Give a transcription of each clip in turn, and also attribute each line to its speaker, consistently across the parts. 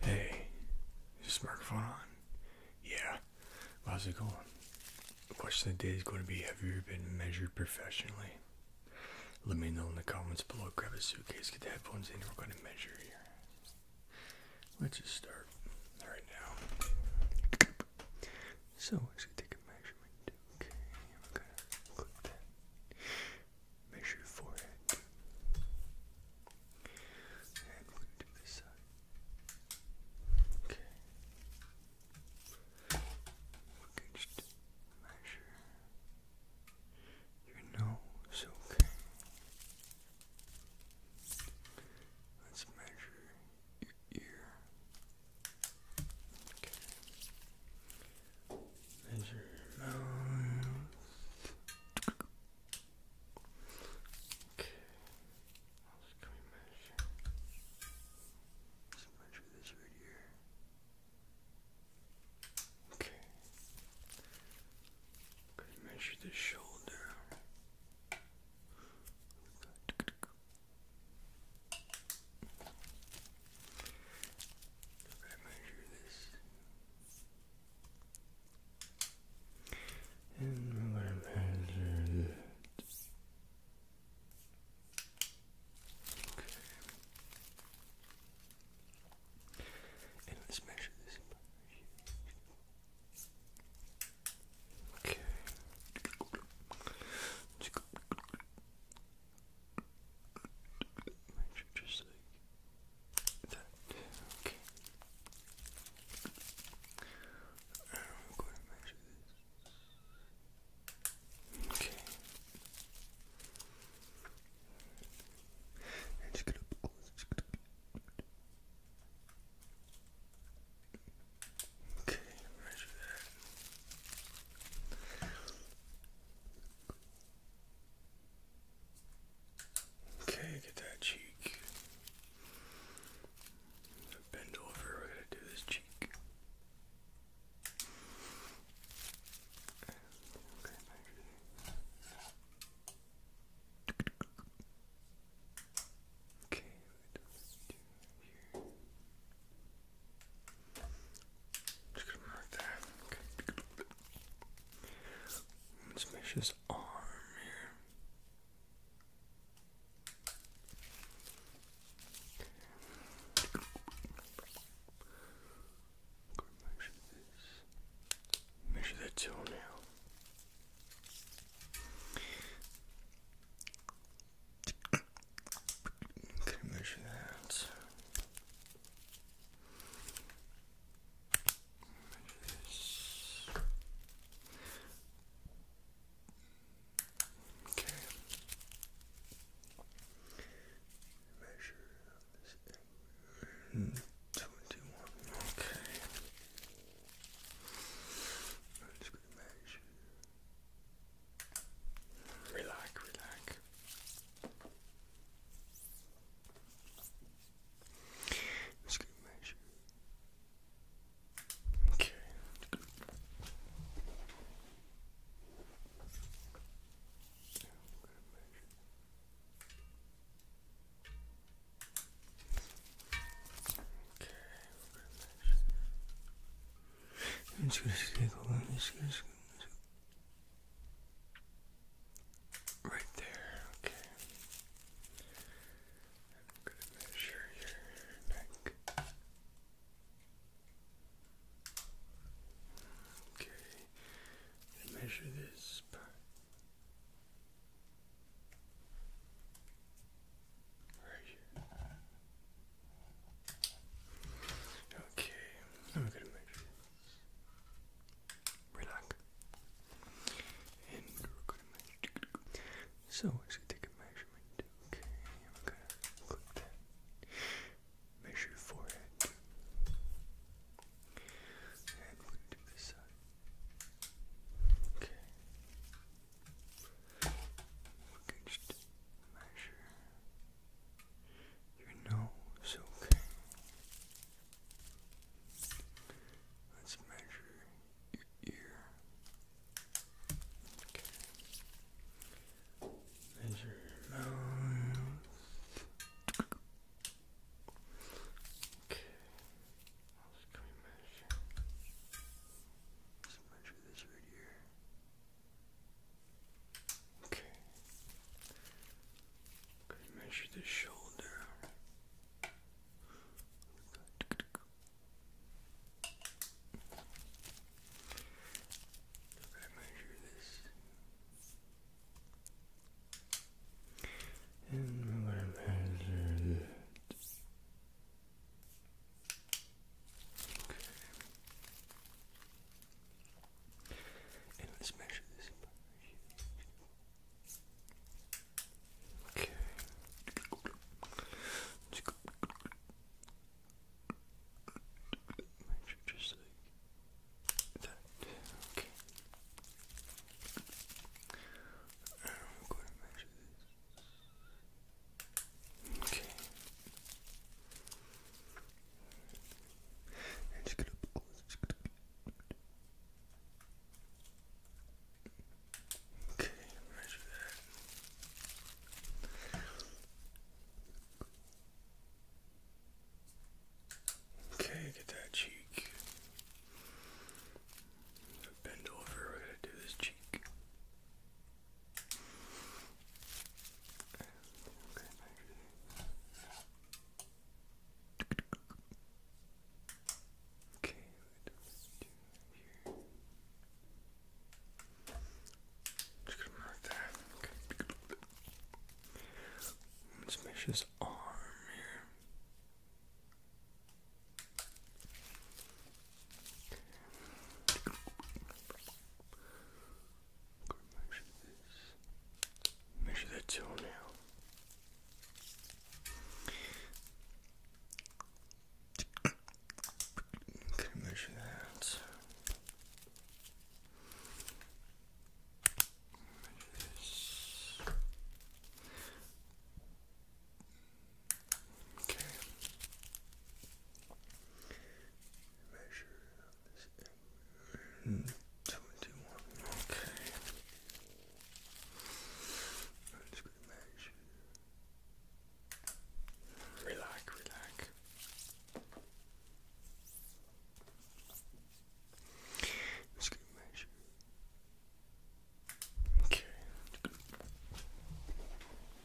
Speaker 1: Hey, is this microphone on? Yeah. How's it going? The question of the day is going to be Have you ever been measured professionally? Let me know in the comments below. Grab a suitcase, get the headphones in, we're going to measure you. Let's just start right now.
Speaker 2: So, let's take a measurement. Okay, I'm going to clip measure your forehead. And we to this side. Okay. We're going
Speaker 1: measure your nose, okay? Let's measure your ear. Okay. Measure your mouth. Okay. What else can we measure? measure this right here. Okay. I'm measure the shoulder. I'm going to measure this.
Speaker 3: And I'm going to measure this. And let's measure this. Okay. Make sure just like that. Okay. And we going to measure this. Okay. And just gonna just gonna Okay, that. Okay, get that cheek. Bend over, we're to do this cheek. Okay, just gonna that. Let's mesh his arm here.
Speaker 1: Measure this. Measure that toenail. Okay, measure that. Measure this. Okay. Measure this angle. Twenty-one. Okay. I'm just gonna measure. Relax, relax. Let's get measure. Okay. Okay, gonna measure.
Speaker 2: i just gonna take a look. Right there, okay.
Speaker 4: I'm going to measure your neck. Okay, measure this part. Right here.
Speaker 2: Okay, let me go to make Relax. And we're gonna So let's take a measurement. Okay, we're gonna click that. Measure your forehead. And to this side. Okay. We're
Speaker 1: just measure your nose, okay? Let's measure your ear. Okay. Measure your mouth. Okay. What else can measure? Let's measure this right here. Okay. Gonna measure the shoulder. I'm measure this. And we're gonna measure this. Okay. And let's measure this. Okay. Measure just like that. Okay. I'm going to measure this. Okay. And just gonna Okay, measure that. Okay, get that cheek. Bend over, we're gonna do this cheek. Okay, maybe.
Speaker 3: Okay, let's do here. Just gonna mark that. Let's mesh his arm here measure this. Measure that toe now. measure that. Measure this. Okay. Measure
Speaker 2: Twenty-one. Okay. I'm just measure. Relax, relax. Let's get measure. Okay.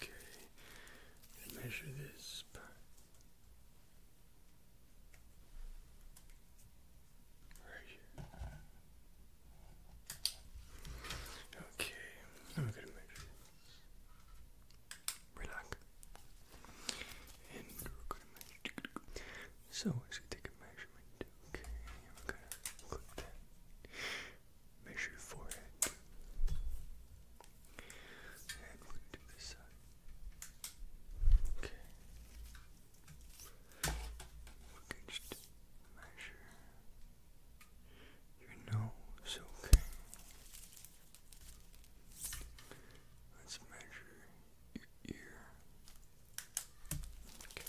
Speaker 4: Okay, measure this. Right
Speaker 2: Okay, I'm gonna measure. Relax. And we're gonna take a measurement. Okay, I'm gonna click that measure forehead. And to do side. Okay. We're going
Speaker 1: measure your nose, okay? Let's measure your ear. Okay.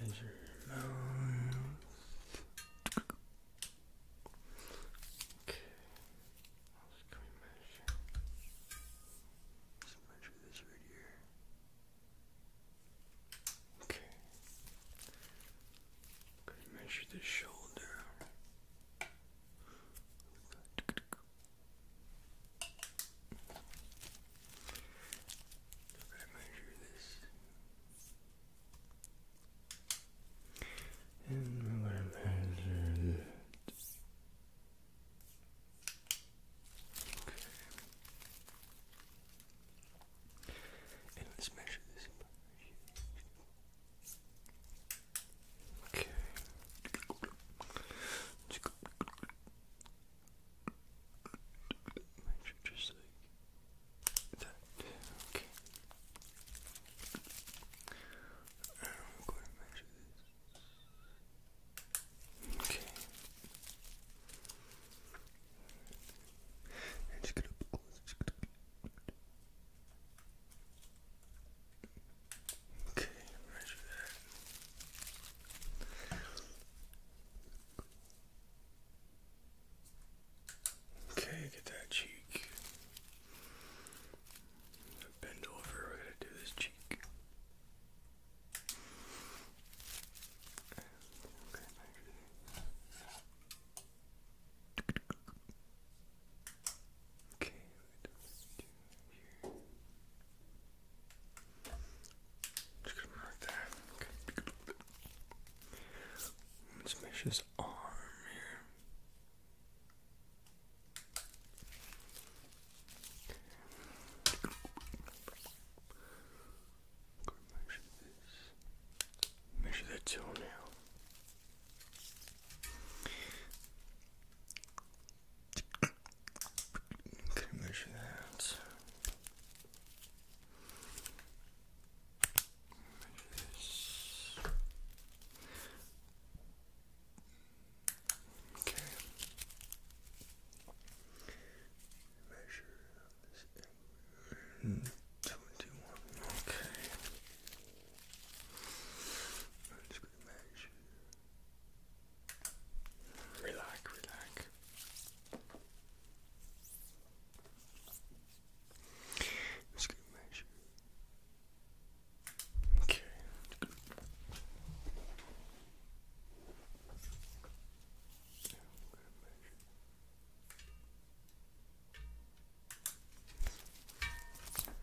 Speaker 1: Measure your Okay. What else can measure? Let's measure this right here. Okay. Can we measure the shoulder?
Speaker 4: If I measure this, and I'm going to measure that. Okay. And let's measure this. Okay. Make sure just like that. Okay. I'm going to measure this. Okay. And just get up close.
Speaker 3: Okay, measure that. Okay, get that cheek. Bend over, we're gonna do this cheek. Okay, just gonna mark that. Okay. his arm here.
Speaker 1: measure this. Measure that toenail. Can you measure that? Measure this. Okay. Measure this mm, twenty-one. Okay.
Speaker 2: I'm just measure Relax, relax. Let's get measure. Okay. Yeah, I'm going measure. Okay,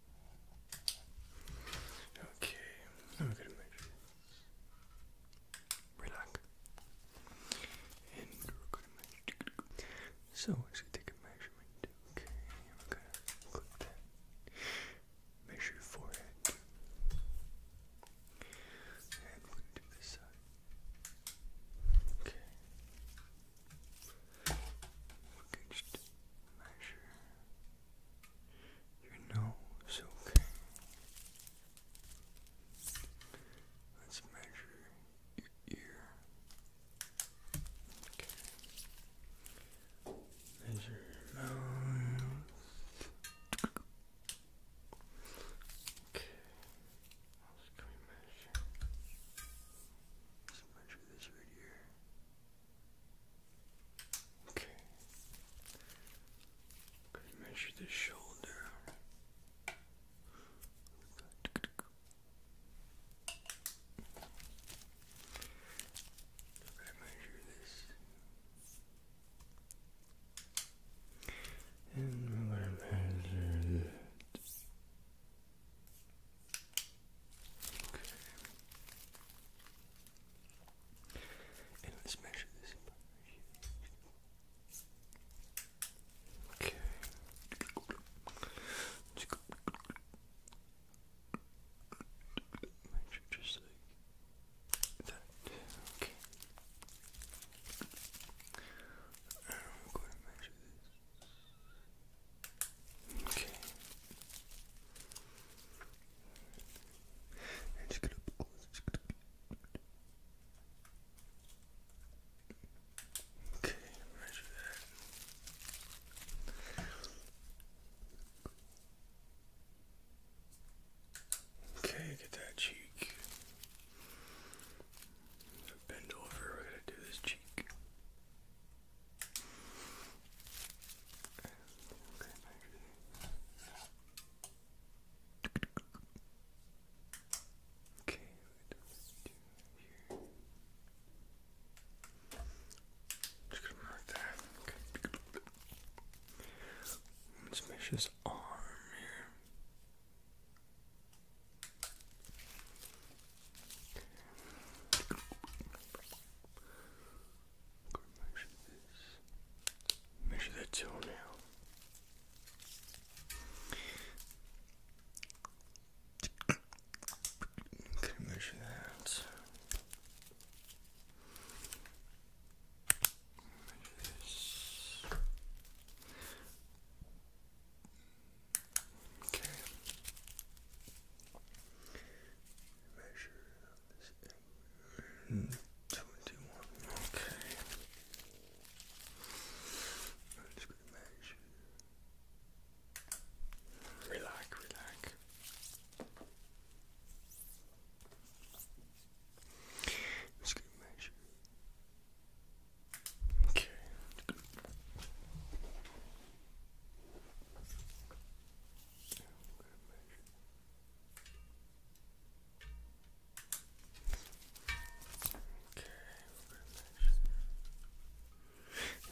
Speaker 2: Okay, I'm gonna measure Relax. And we're gonna take a measurement. Okay, we're gonna click that. Measure forehead. And to do side. Okay. We can
Speaker 1: measure your nose, okay? Let's measure your ear. Okay. Measure your mouth. Okay. What else can measure? Let's measure this right here. Okay. Gonna measure the shoulder. i measure this. And we're gonna measure this. Okay. And let's measure this. Okay. Measure just like that. Okay. I'm going to measure this. Okay. just gonna close. Okay, Okay, get that cheek. Bend over, we're gonna do this cheek. Okay, maybe.
Speaker 3: Just gonna mark that. Let's mesh his arm here
Speaker 1: measure this. Measure that toenail. measure that. Measure this. Okay. Measure this in twenty-one. Okay. I'm just gonna measure. Relax, relax. just gonna measure. Okay. Okay,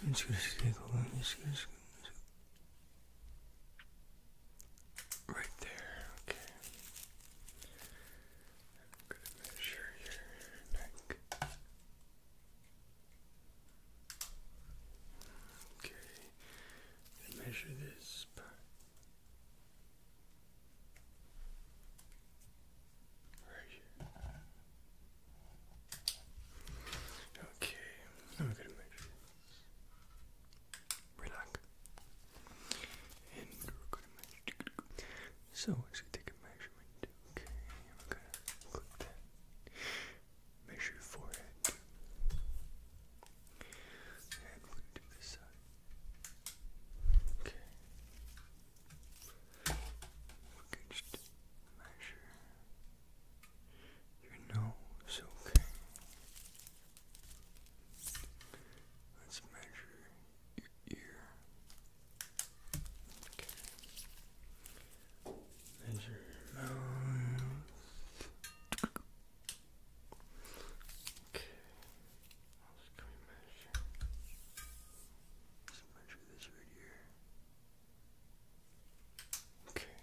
Speaker 2: I'm just gonna stick along this. Right there, Okay.
Speaker 4: Okay, measure this part. Right
Speaker 2: Okay, I'm gonna measure Relax. And we're gonna measure. So I'm take a measurement. Okay, I'm gonna click that. Measure your forehead. And we to do side. Okay. We can
Speaker 1: just measure your nose, okay. Let's measure your ear. Okay. There's your nose. Okay. I'll just measure. measure this right here. Okay.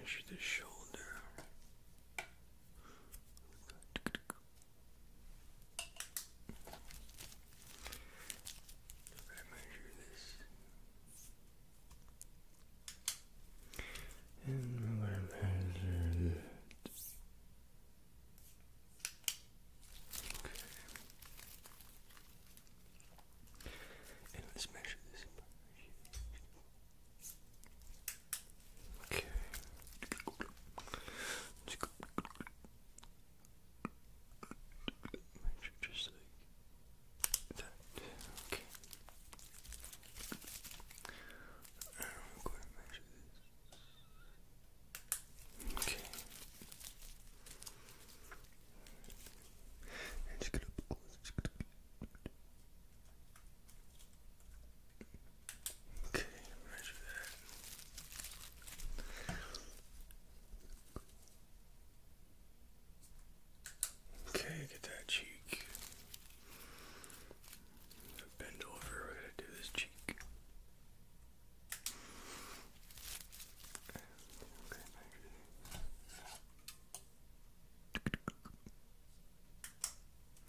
Speaker 1: measure the shoulder. Better measure this. And we're measure this. And let's measure this. Okay just like that. Okay. I'm going to measure this. Okay. And just get up close. Okay, measure that. Okay, get that cheek. Bend over, we're to do this cheek. Okay, measure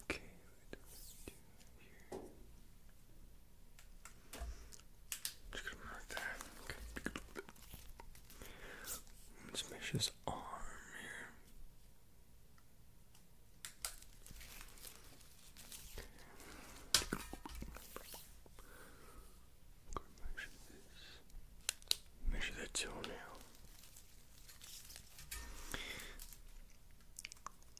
Speaker 3: Okay, we do here. Just gonna mark that. Okay. let his arm here.
Speaker 1: Measure this. Measure that toenail.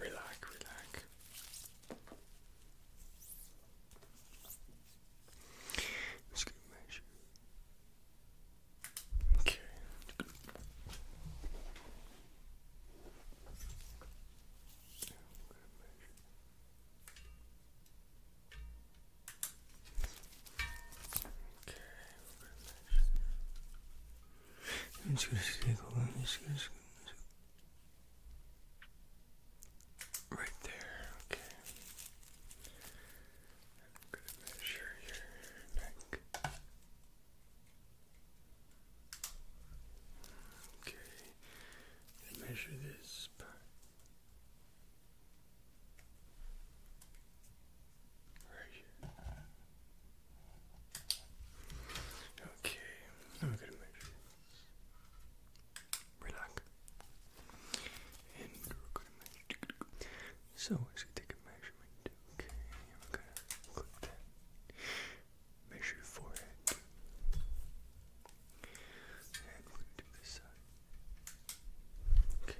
Speaker 2: Relax, relax. Just gonna measure. Okay. I'm gonna measure. Okay, I'm just gonna stick on this. Right there, okay. I'm gonna
Speaker 4: measure your neck. Okay, measure this part.
Speaker 2: Okay, I'm gonna make Relax. And we're going So I should take a measurement. Okay, Measure your forehead. And to do side. Okay.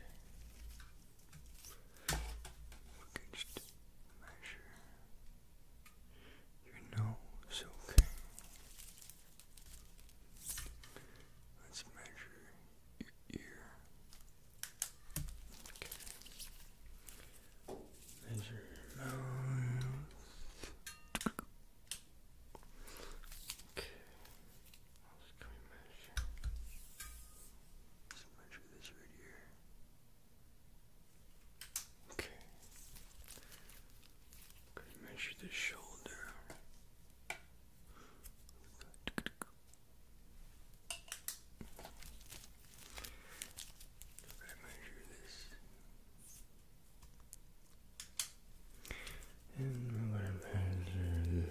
Speaker 2: We can
Speaker 1: just measure your nose, okay? Let's measure your ear. Okay. Measure your mouth. Okay else can we measure? Let's measure this right here. Okay. I'm gonna measure the shoulder. I'm gonna measure this. And we're gonna measure this.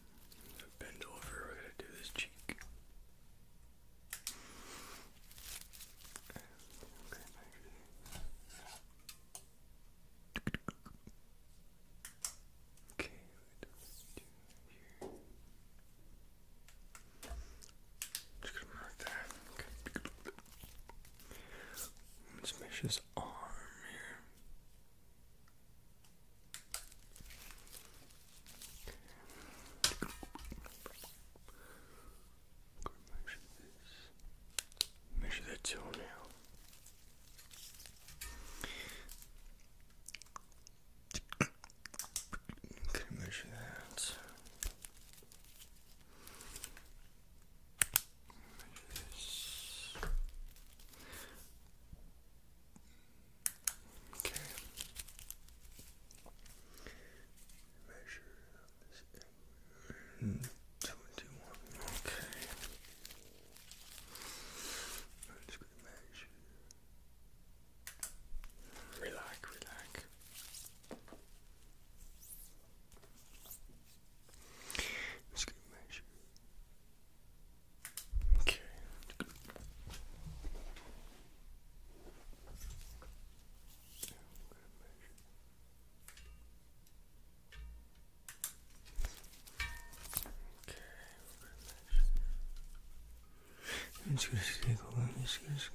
Speaker 3: Bend over, we're gonna do this cheek. Okay, Okay, Just gonna mark that. Let's mesh his arm here
Speaker 2: measure this. Measure that toenail. Okay, measure that. Measure this.
Speaker 1: Okay. Measure Twenty-one. Okay. just gonna measure. Relax, relax. just gonna measure Okay. Yeah, Okay,
Speaker 2: i gonna take a gonna, just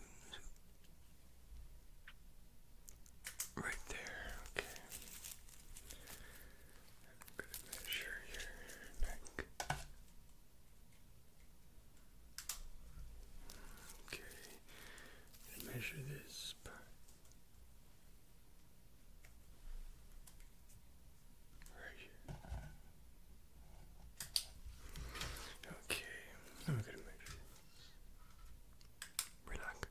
Speaker 2: right there. Okay. I'm going to
Speaker 4: measure your neck. Okay, i measure this part. Right here. Okay, I'm going to measure Relax.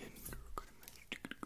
Speaker 4: And we're going to measure.